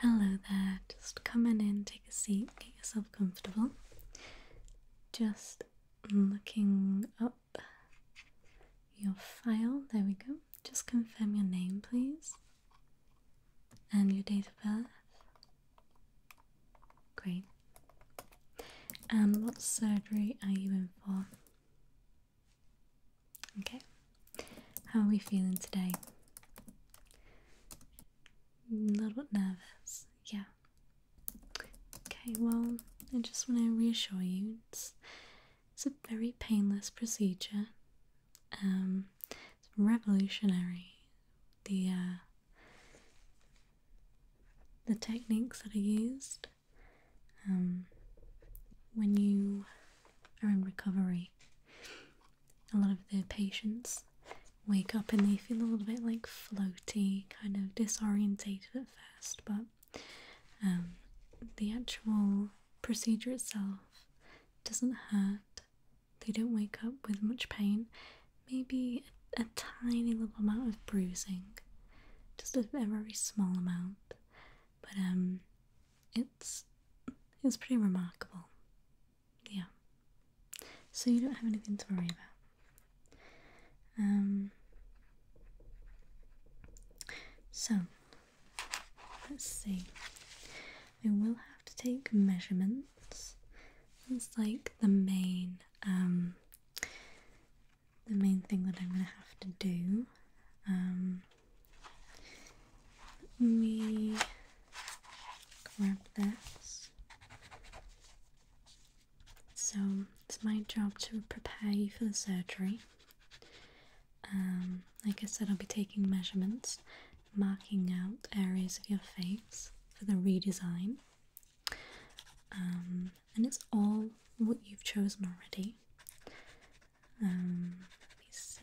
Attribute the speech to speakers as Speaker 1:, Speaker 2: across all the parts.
Speaker 1: Hello there, just come in and take a seat, get yourself comfortable. Just looking up your file, there we go. Just confirm your name, please, and your date of birth. Great. And what surgery are you in for? Okay, how are we feeling today? A little bit nervous, yeah. Okay, well, I just want to reassure you it's, it's a very painless procedure. Um, it's revolutionary. The uh, the techniques that are used um, when you are in recovery a lot of the patients wake up and they feel a little bit like floaty, kind of disorientated at first, but um, the actual procedure itself doesn't hurt. They don't wake up with much pain, maybe a, tiny little amount of bruising, just a, a very small amount. But um, it's it's pretty remarkable. Yeah. So you don't have anything to worry about. Um so let's see. I will have to take measurements. That's like the main um the main thing that I'm gonna have to do. Um, let me grab this. So it's my job to prepare you for the surgery. Um, like I said, I'll be taking measurements, marking out areas of your face for the redesign. Um, and it's all what you've chosen already. Um, let me see.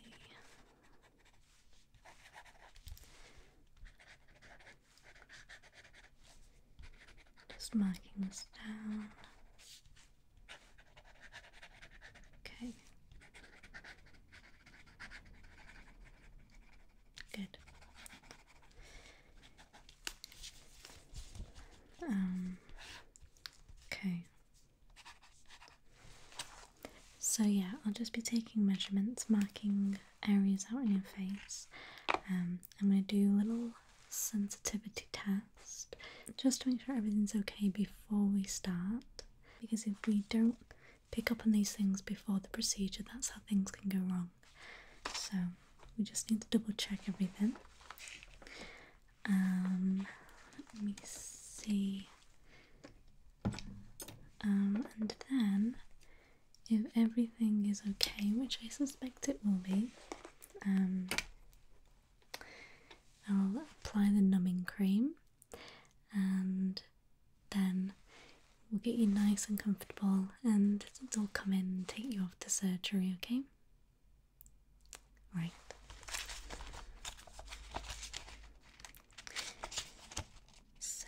Speaker 1: Just marking this down. Okay. Good. Um, okay. So, yeah, I'll just be taking measurements, marking areas out on your face. Um, I'm going to do a little sensitivity test just to make sure everything's okay before we start. Because if we don't pick up on these things before the procedure, that's how things can go wrong. So, we just need to double check everything. Um, let me see. Um, and then, if everything is okay, which I suspect it will be, um, I'll apply the numbing cream and then we'll get you nice and comfortable and it'll come in and take you off to surgery, okay? Right. So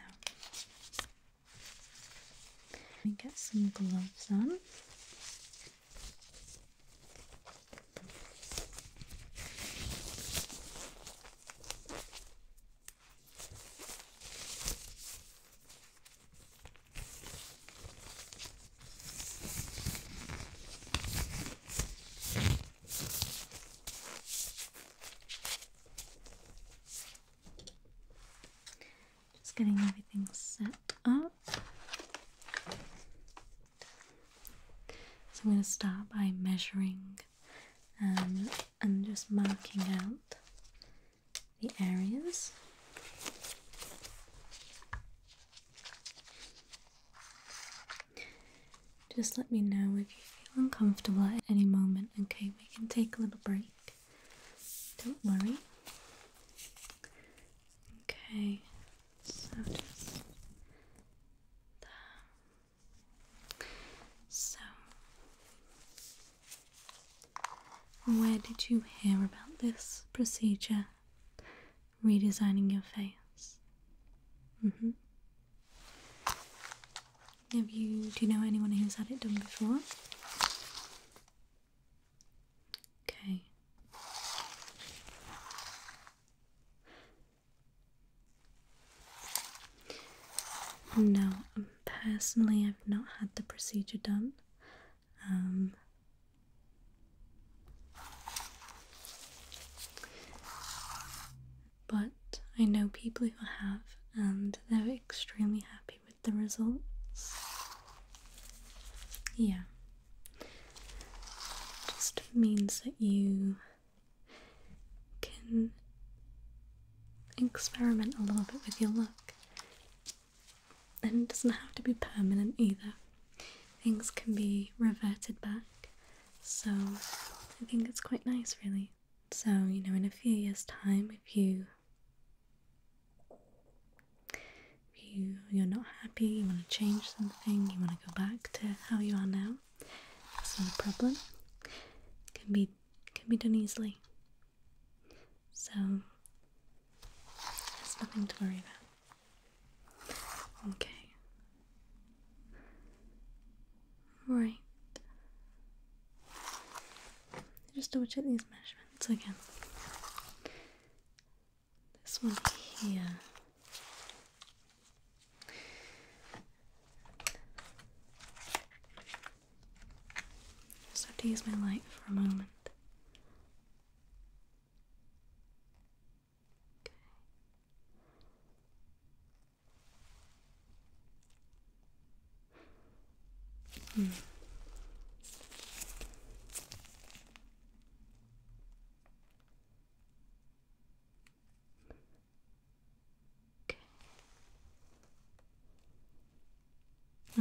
Speaker 1: let me get some gloves on. Just getting everything set up. So I'm going to start by measuring um, and just marking out the areas. Just let me know if you feel uncomfortable at any moment, okay? We can take a little break. Don't worry. Okay, so um, So, where did you hear about this procedure? Redesigning your face. Mm hmm. Have you? Do you know anyone who's had it done before? Okay. No, personally, I've not had the procedure done. Um, but I know people who have, and they're extremely happy with the results. Yeah, just means that you can experiment a little bit with your look, and it doesn't have to be permanent either. Things can be reverted back so I think it's quite nice, really. So, you know, in a few years' time, if you if you you're not happy, you want to change something, you want to go back to how you are now, that's not a problem. can be can be done easily. So there's nothing to worry about. Okay, Right. Just double check these measurements again. This one here. Just have to use my light for a moment. Okay. Okay. Hmm.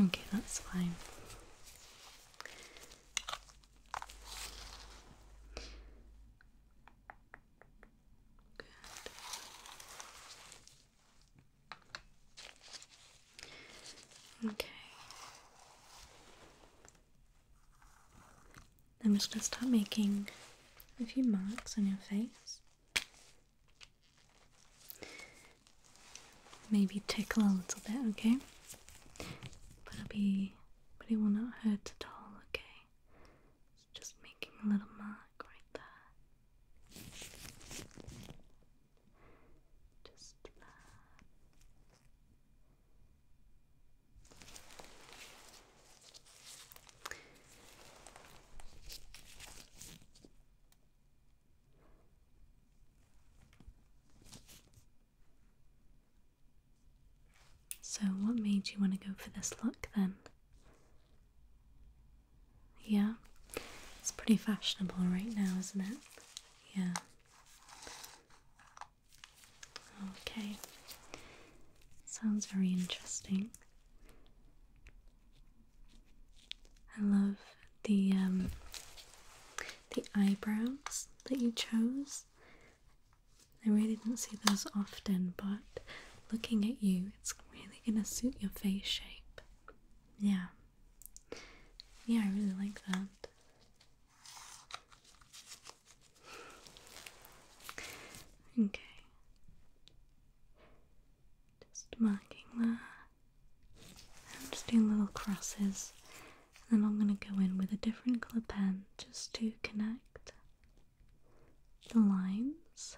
Speaker 1: Okay, that's fine. Okay. I'm just gonna start making a few marks on your face. Maybe tickle a little bit, okay? But it'll be but it will not hurt at all, okay? just making a little mark right there. Just there. So, what made you want to go for this look then? Yeah, it's pretty fashionable right now, isn't it? Yeah. Okay, sounds very interesting. I love the um, the eyebrows that you chose. I really didn't see those often, but looking at you, it's really gonna suit your face shape. Yeah. Yeah, I really like that. Okay. Just marking that. I'm just doing little crosses. And then I'm gonna go in with a different colour pen just to connect the lines.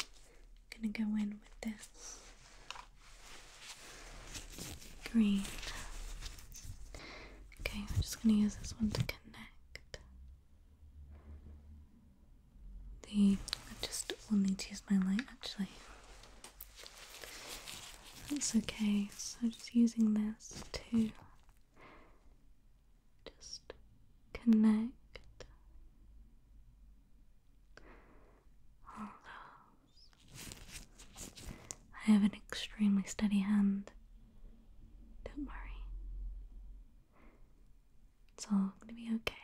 Speaker 1: I'm gonna go in with this green. Okay, I'm just gonna use this one to connect. The I just only need to use my light actually. That's okay. So I'm just using this to just connect I have an extremely steady hand. Don't worry. It's all gonna be okay.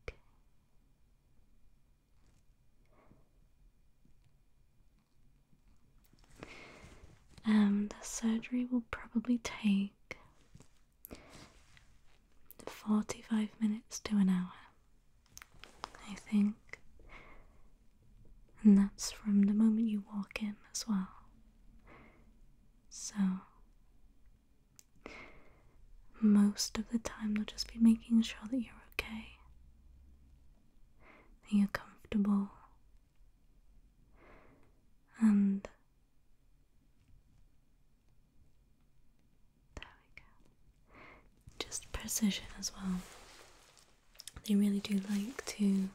Speaker 1: okay. Um, the surgery will probably take 45 minutes to an hour, I think. And that's from the moment you walk in as well. So, most of the time they'll just be making sure that you're okay, that you're comfortable, and there we go. Just precision as well. They really do like to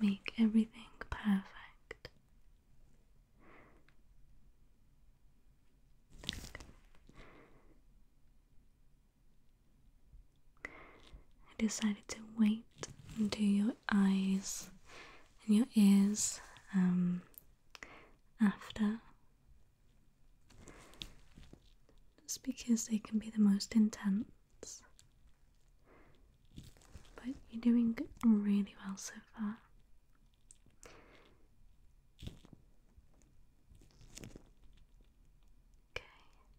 Speaker 1: make everything perfect. I decided to wait until your eyes and your ears um, after. Just because they can be the most intense. But you're doing really well so far. Okay.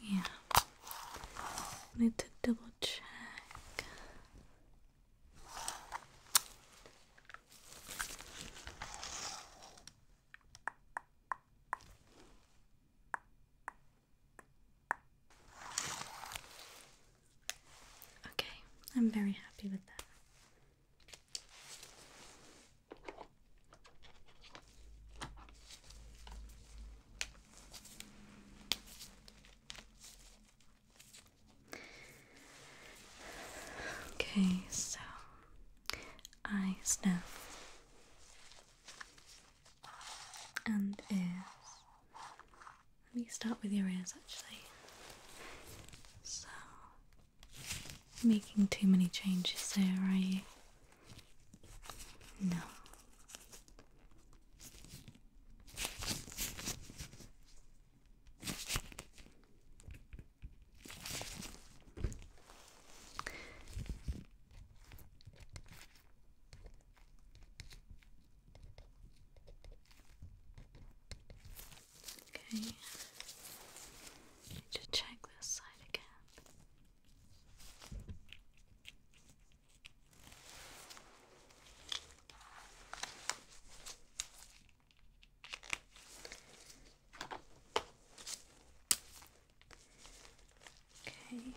Speaker 1: Yeah. Need to double check. Okay, I'm very happy with that. Okay, so eyes now. And ears. Let me start with your ears actually. So making too many changes there, are you? No. Okay. Just check this side again. Okay.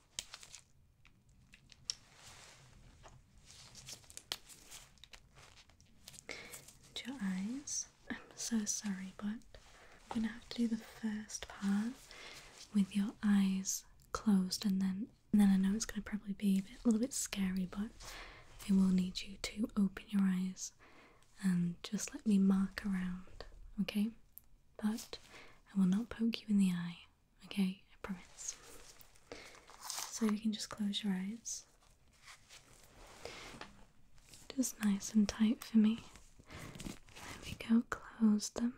Speaker 1: your eyes. I'm so sorry, but I'm gonna have to do the first part with your eyes closed, and then and then I know it's gonna probably be a, bit, a little bit scary, but I will need you to open your eyes and just let me mark around, okay? But I will not poke you in the eye okay? I promise. So you can just close your eyes. Just nice and tight for me. There we go, close them.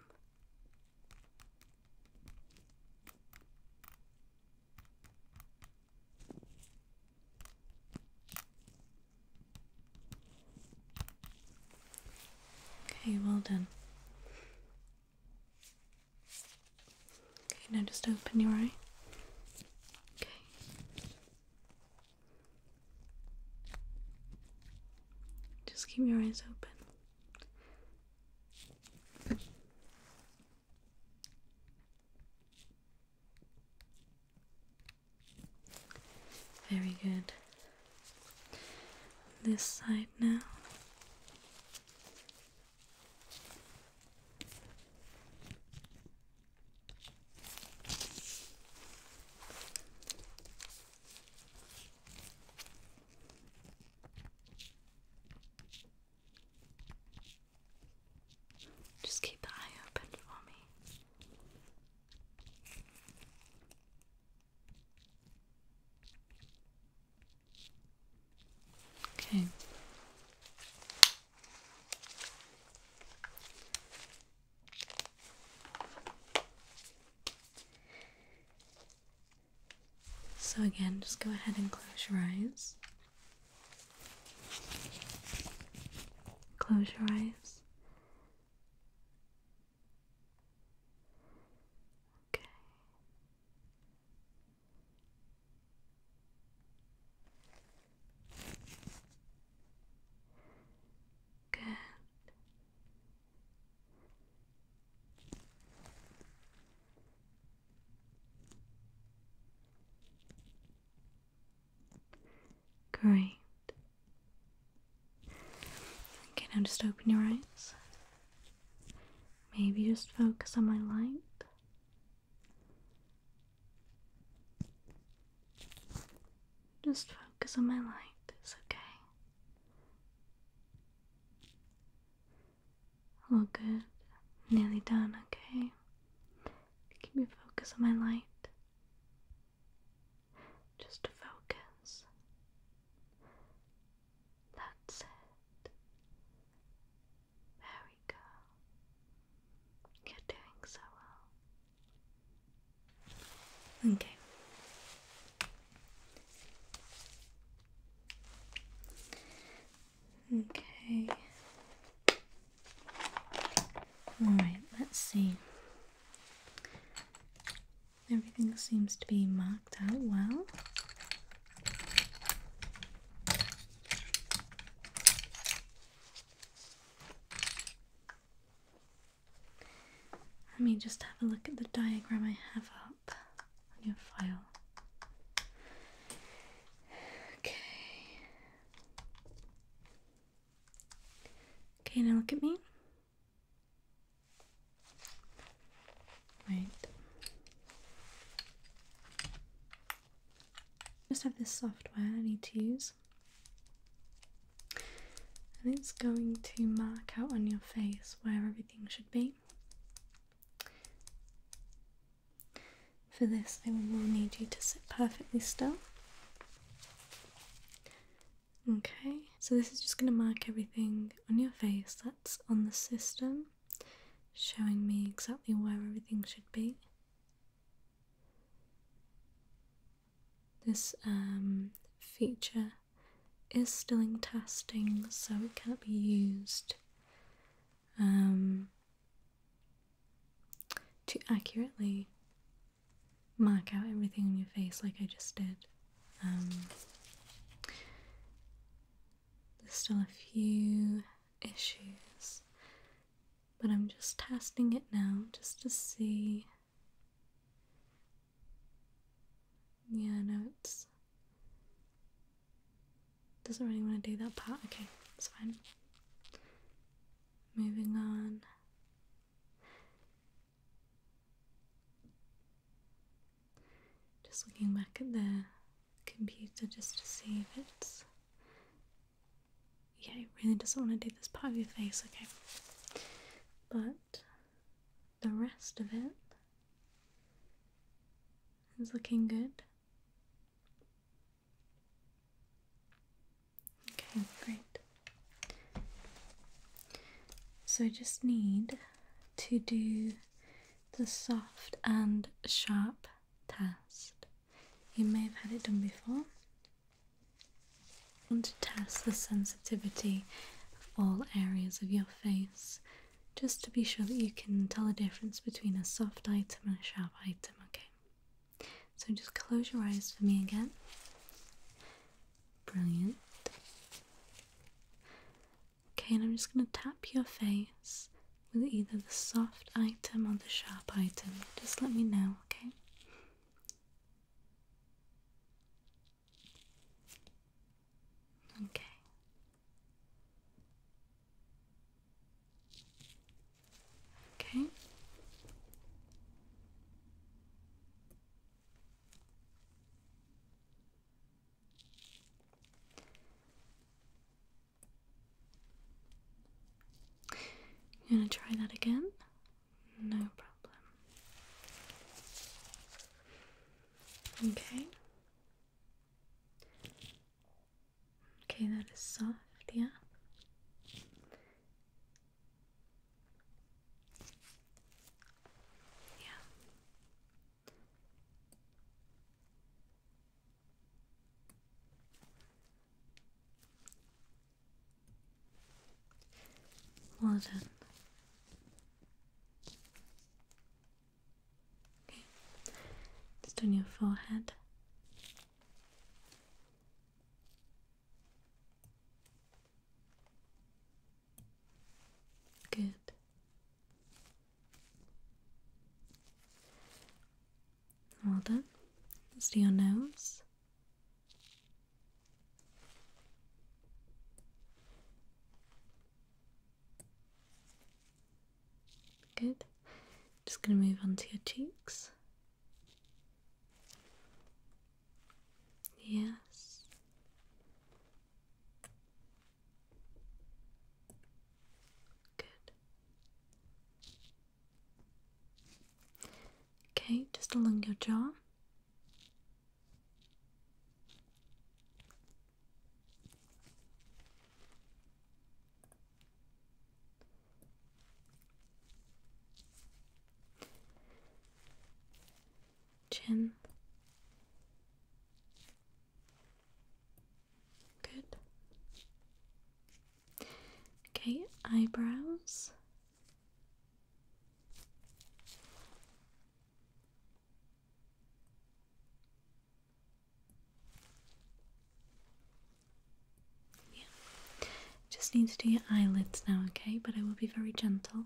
Speaker 1: Okay, well done. Okay, now just open your eye. Okay. Just keep your eyes open. Very good. This side now. Just keep the eye open for me. Okay. So, again, just go ahead and close your eyes. Close your eyes Okay. Good. Great. Okay, now just open your eyes. Maybe just focus on my light. Just focus on my light, it's okay. All good. Nearly done, okay? Keep your focus on my light. Just focus. That's it. There we You're doing so well. Okay. Okay. All right, let's see. Everything seems to be marked out well. Let me just have a look at the diagram I have up on your file. Okay. Okay, now look at me. Right. Just have this software I need to use. And it's going to mark out on your face where everything should be. For this, I will need you to sit perfectly still. Okay, so this is just going to mark everything on your face that's on the system, showing me exactly where everything should be. This um, feature is still in testing, so it cannot be used um, to accurately mark out everything on your face like I just did. Um, there's still a few issues, but I'm just testing it now just to see. Yeah, no, it's doesn't really want to do that part. Okay, it's fine. Moving on. Just looking back at the computer just to see if it's. Yeah, it really doesn't want to do this part of your face, okay. But the rest of it is looking good. Okay, great. So I just need to do the soft and sharp test. You may have had it done before. And to test the sensitivity of all areas of your face, just to be sure that you can tell the difference between a soft item and a sharp item, okay? So just close your eyes for me again. Brilliant. Okay, and I'm just going to tap your face with either the soft item or the sharp item. Just let me know, okay? Okay. Okay. You gonna try that again? No problem. Okay. Okay, that is soft, yeah. Yeah. Well done. Okay. Just on your forehead. Good. Well done. Let's do your nose. Good. Just going to move on to your cheeks. Yes. Good. Okay, just along your jaw. Chin, Good. Okay, eyebrows. Yeah. Just need to do your eyelids now, okay? But I will be very gentle.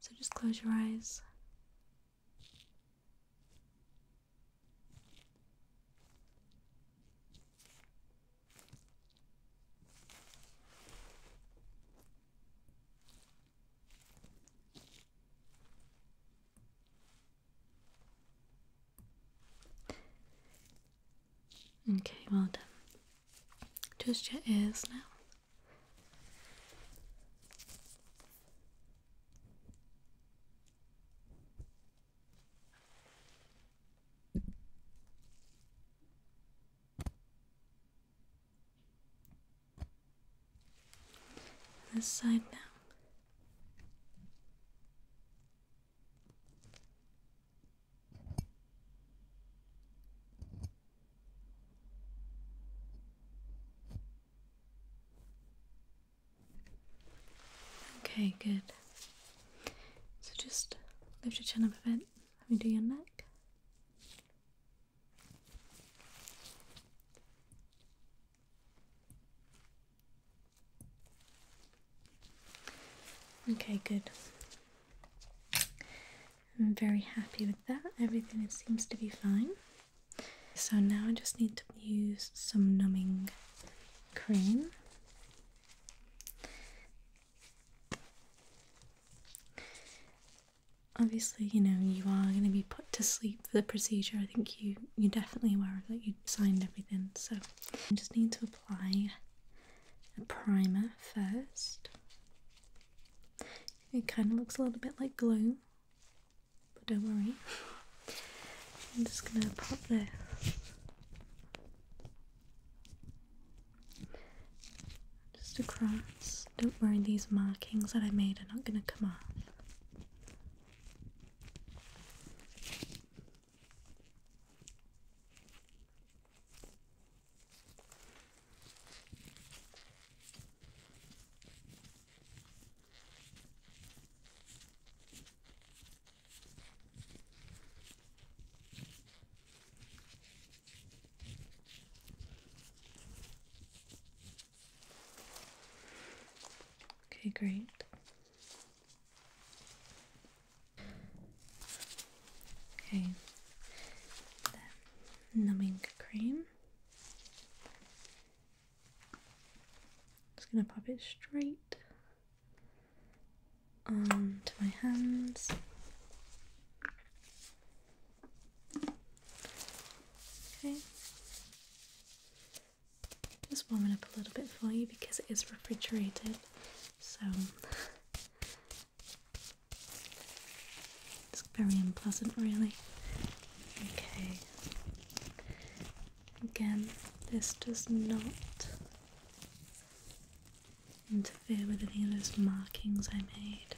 Speaker 1: So just close your eyes. Okay, well done. Just your ears now. This side now. Okay, good. So just lift your chin up a bit. Let me do your neck. Okay, good. I'm very happy with that. Everything seems to be fine. So now I just need to use some numbing cream. Obviously, you know, you are going to be put to sleep for the procedure. I think you, you're definitely aware of that. You signed everything. So I just need to apply a primer first. It kind of looks a little bit like glue but don't worry. I'm just gonna pop this just across. Don't worry, these markings that I made are not gonna come off. Okay, great. Okay, numbing cream. Just gonna pop it straight onto my hands. Okay. Just warming up a little bit for you because it is refrigerated. So it's very unpleasant, really. Okay. Again, this does not interfere with any of those markings I made.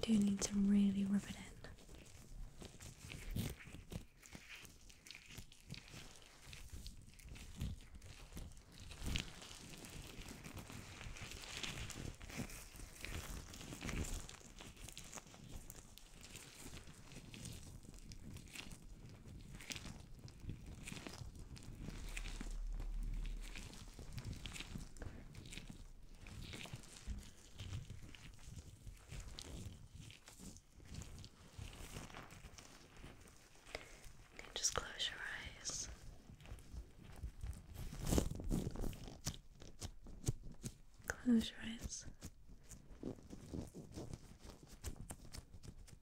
Speaker 1: I do need to really rub it in just close your eyes. Close your eyes.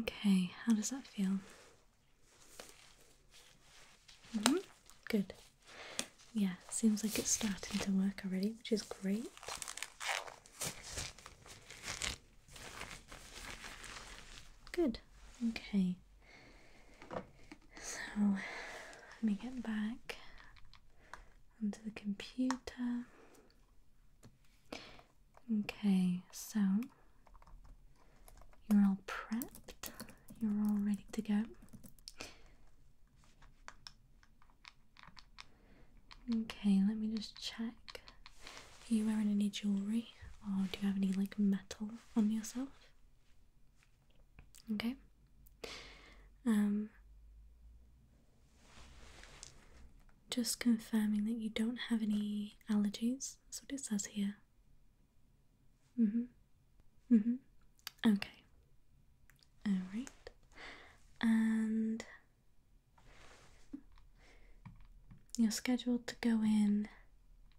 Speaker 1: Okay, how does that feel? Mm-hmm, good. Yeah, seems like it's starting to work already, which is great. Good. Okay. So let me get back onto the computer. Okay, so you're all prepped, you're all ready to go. Okay, let me just check. Are you wearing any jewellery or do you have any like metal on yourself? Okay. Um just confirming that you don't have any allergies. That's what it says here. Mhm. Mm mhm. Mm okay. All right. And you're scheduled to go in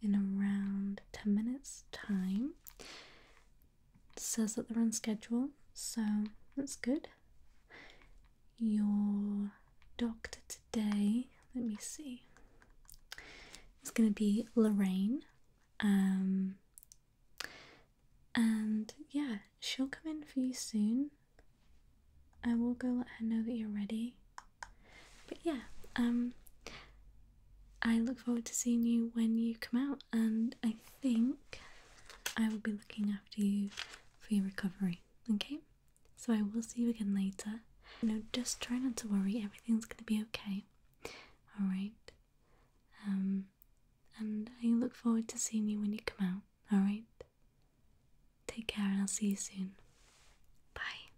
Speaker 1: in around 10 minutes time says that they're on schedule, so that's good. Your doctor today, let me see, it's going to be Lorraine. Um, and yeah, she'll come in for you soon. I will go let her know that you're ready. But yeah, um, I look forward to seeing you when you come out, and I think I will be looking after you for your recovery. Okay? So I will see you again later. You just try not to worry, everything's going to be okay. Alright? Um, and I look forward to seeing you when you come out. Alright? Take care, and I'll see you soon. Bye.